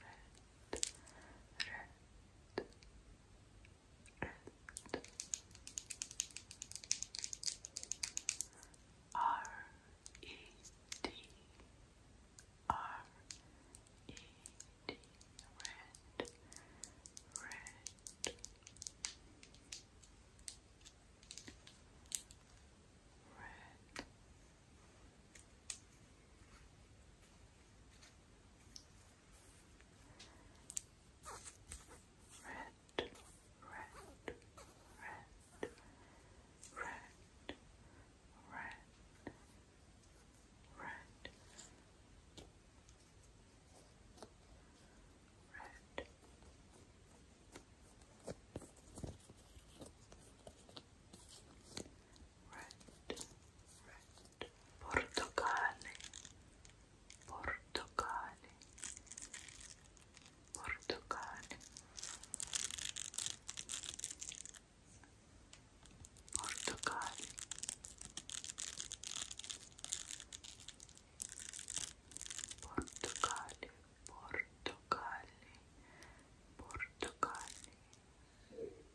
red, red, red. R E D, R E D, red, red. Red, red, red, red, red, red, red. Red red, red, portocale, portocale, portocale, portocale. Portocale, portocale, portocale,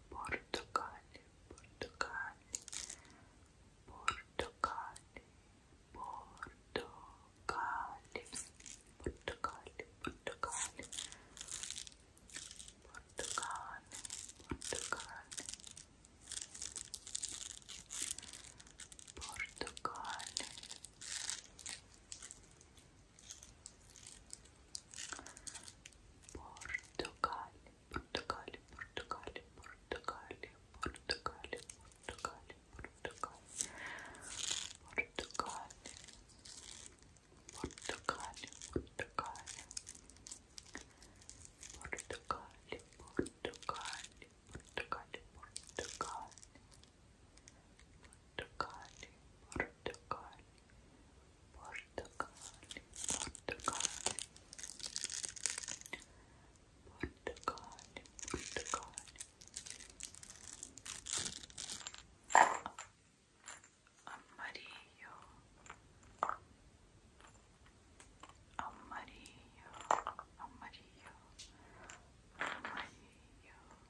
Portugal, Portugal, Portugal, Portugal, Portugal, Portugal, Portugal, Portugal, Portugal. Portugal, Portugal, Portugal, Portugal, Portugal, Portugal, Portugal, Portugal, Portugal, Portugal, Portugal, Portugal, Portugal, Portugal, Portugali, Portugali, Portugali, Portugali, Portugali, Portugali. Amarillo, amarillo, amarillo, amarillo.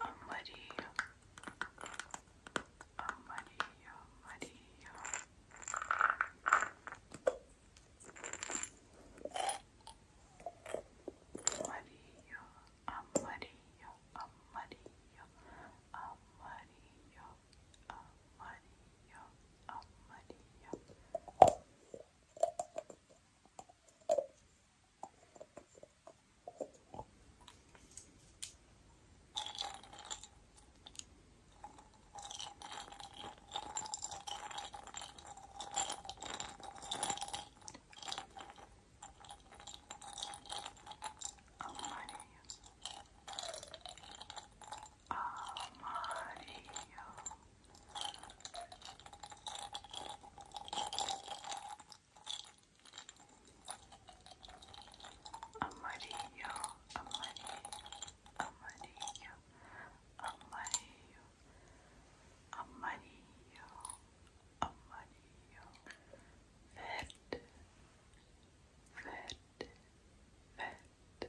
Amarillo, amarillo, amarillo. Amarillo, amarillo, amarillo, amarillo, amarillo, amarillo. Amarillo, Amarillo amarillo, amarillo, amarillo, amarillo, amarillo, amarillo, verde, verde, verde,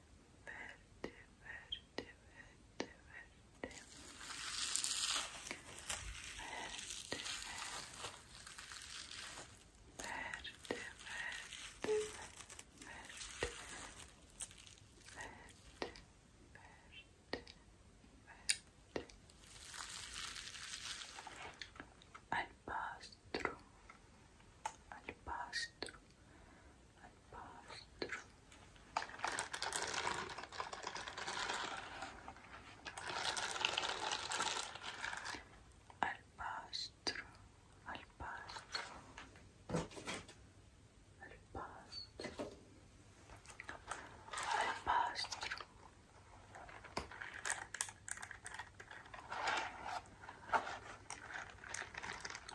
verde, verde, verde, verde. Verde, verde, verde, verde, verde, verde, verde. Albastro, albastro, al pasto. Al pasto, al pasto, al pasto, al pasto.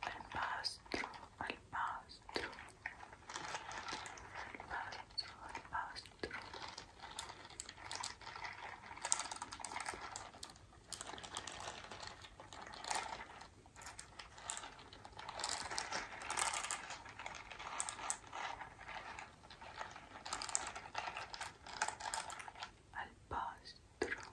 al pastro, al pastro, al pastro, al pastro. Al pastro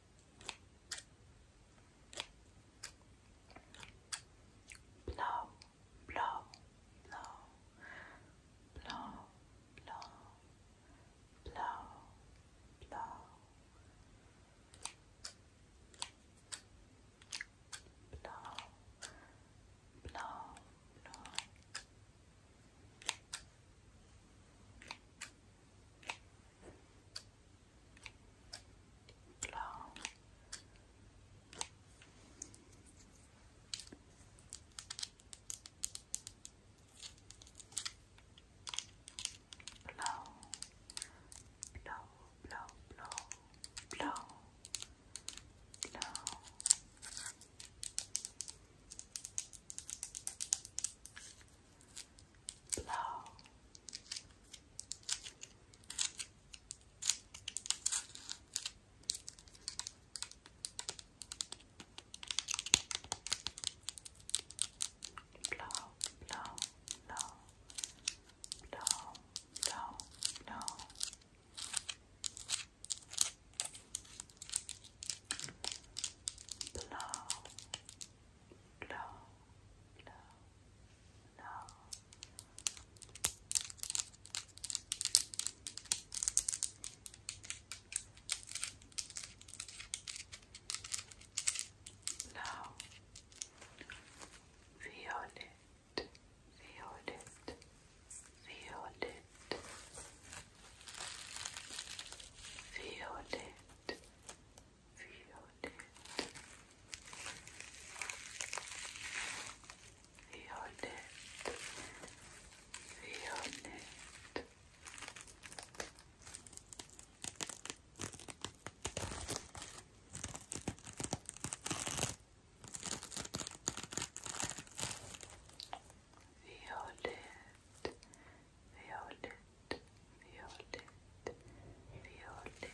blow, blow, blow, blow, blow, blow, blow, blow, blow, blow. Blow, blow, blow, blow, blow, blow blow. Blow, blow, blow, blow, blow, blow blow, blow, blow. Now, violet, violet, violet, violet, Violet, Violet, Violet. Violet, violet, violet, violet. Violet,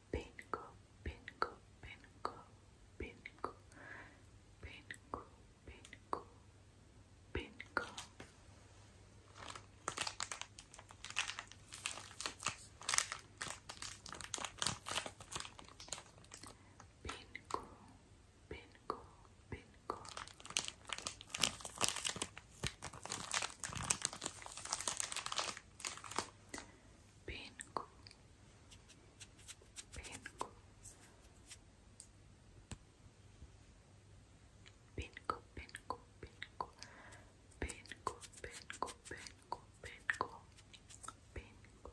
Pingo, pingo, pingo, pingo, pingo, pingo, pingo. Pingo, pingo, pingo. Pingo, Pinku. Pinku. Pinku, pinku, pinku. Pinku, pinku, pinku, pinku. Pinku. Pinku, pinku, pinku.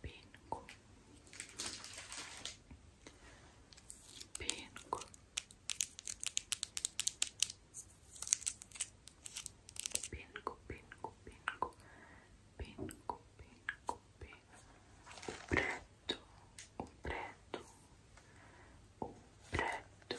Pinco. Pinco. Pinco, pinco, pinco, pinco, pinco, pinco. preto, un preto, un preto.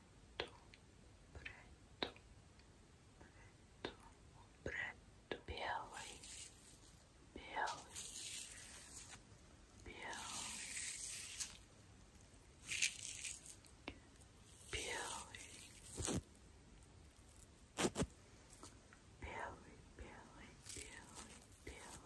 preto, preto, preto, preto, biały, biały, biały, biały, biały, biały, biały, biały,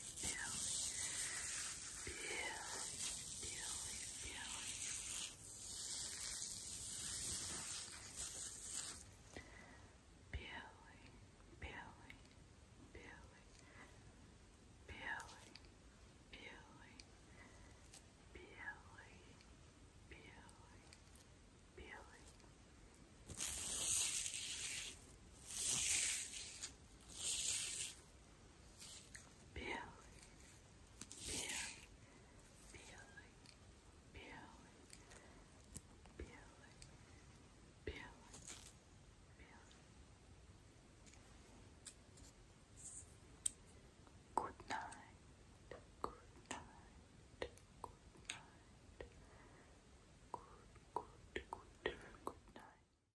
feeling, feeling, feeling, feeling, feeling. Peeling, peeling, peeling, peeling, peeling, peeling, peeling, peeling. Peeling, Billy, Billy, Billy, Billy, Billy, Billy, Billy. Good night, good night, good night. Good, good, good, good night.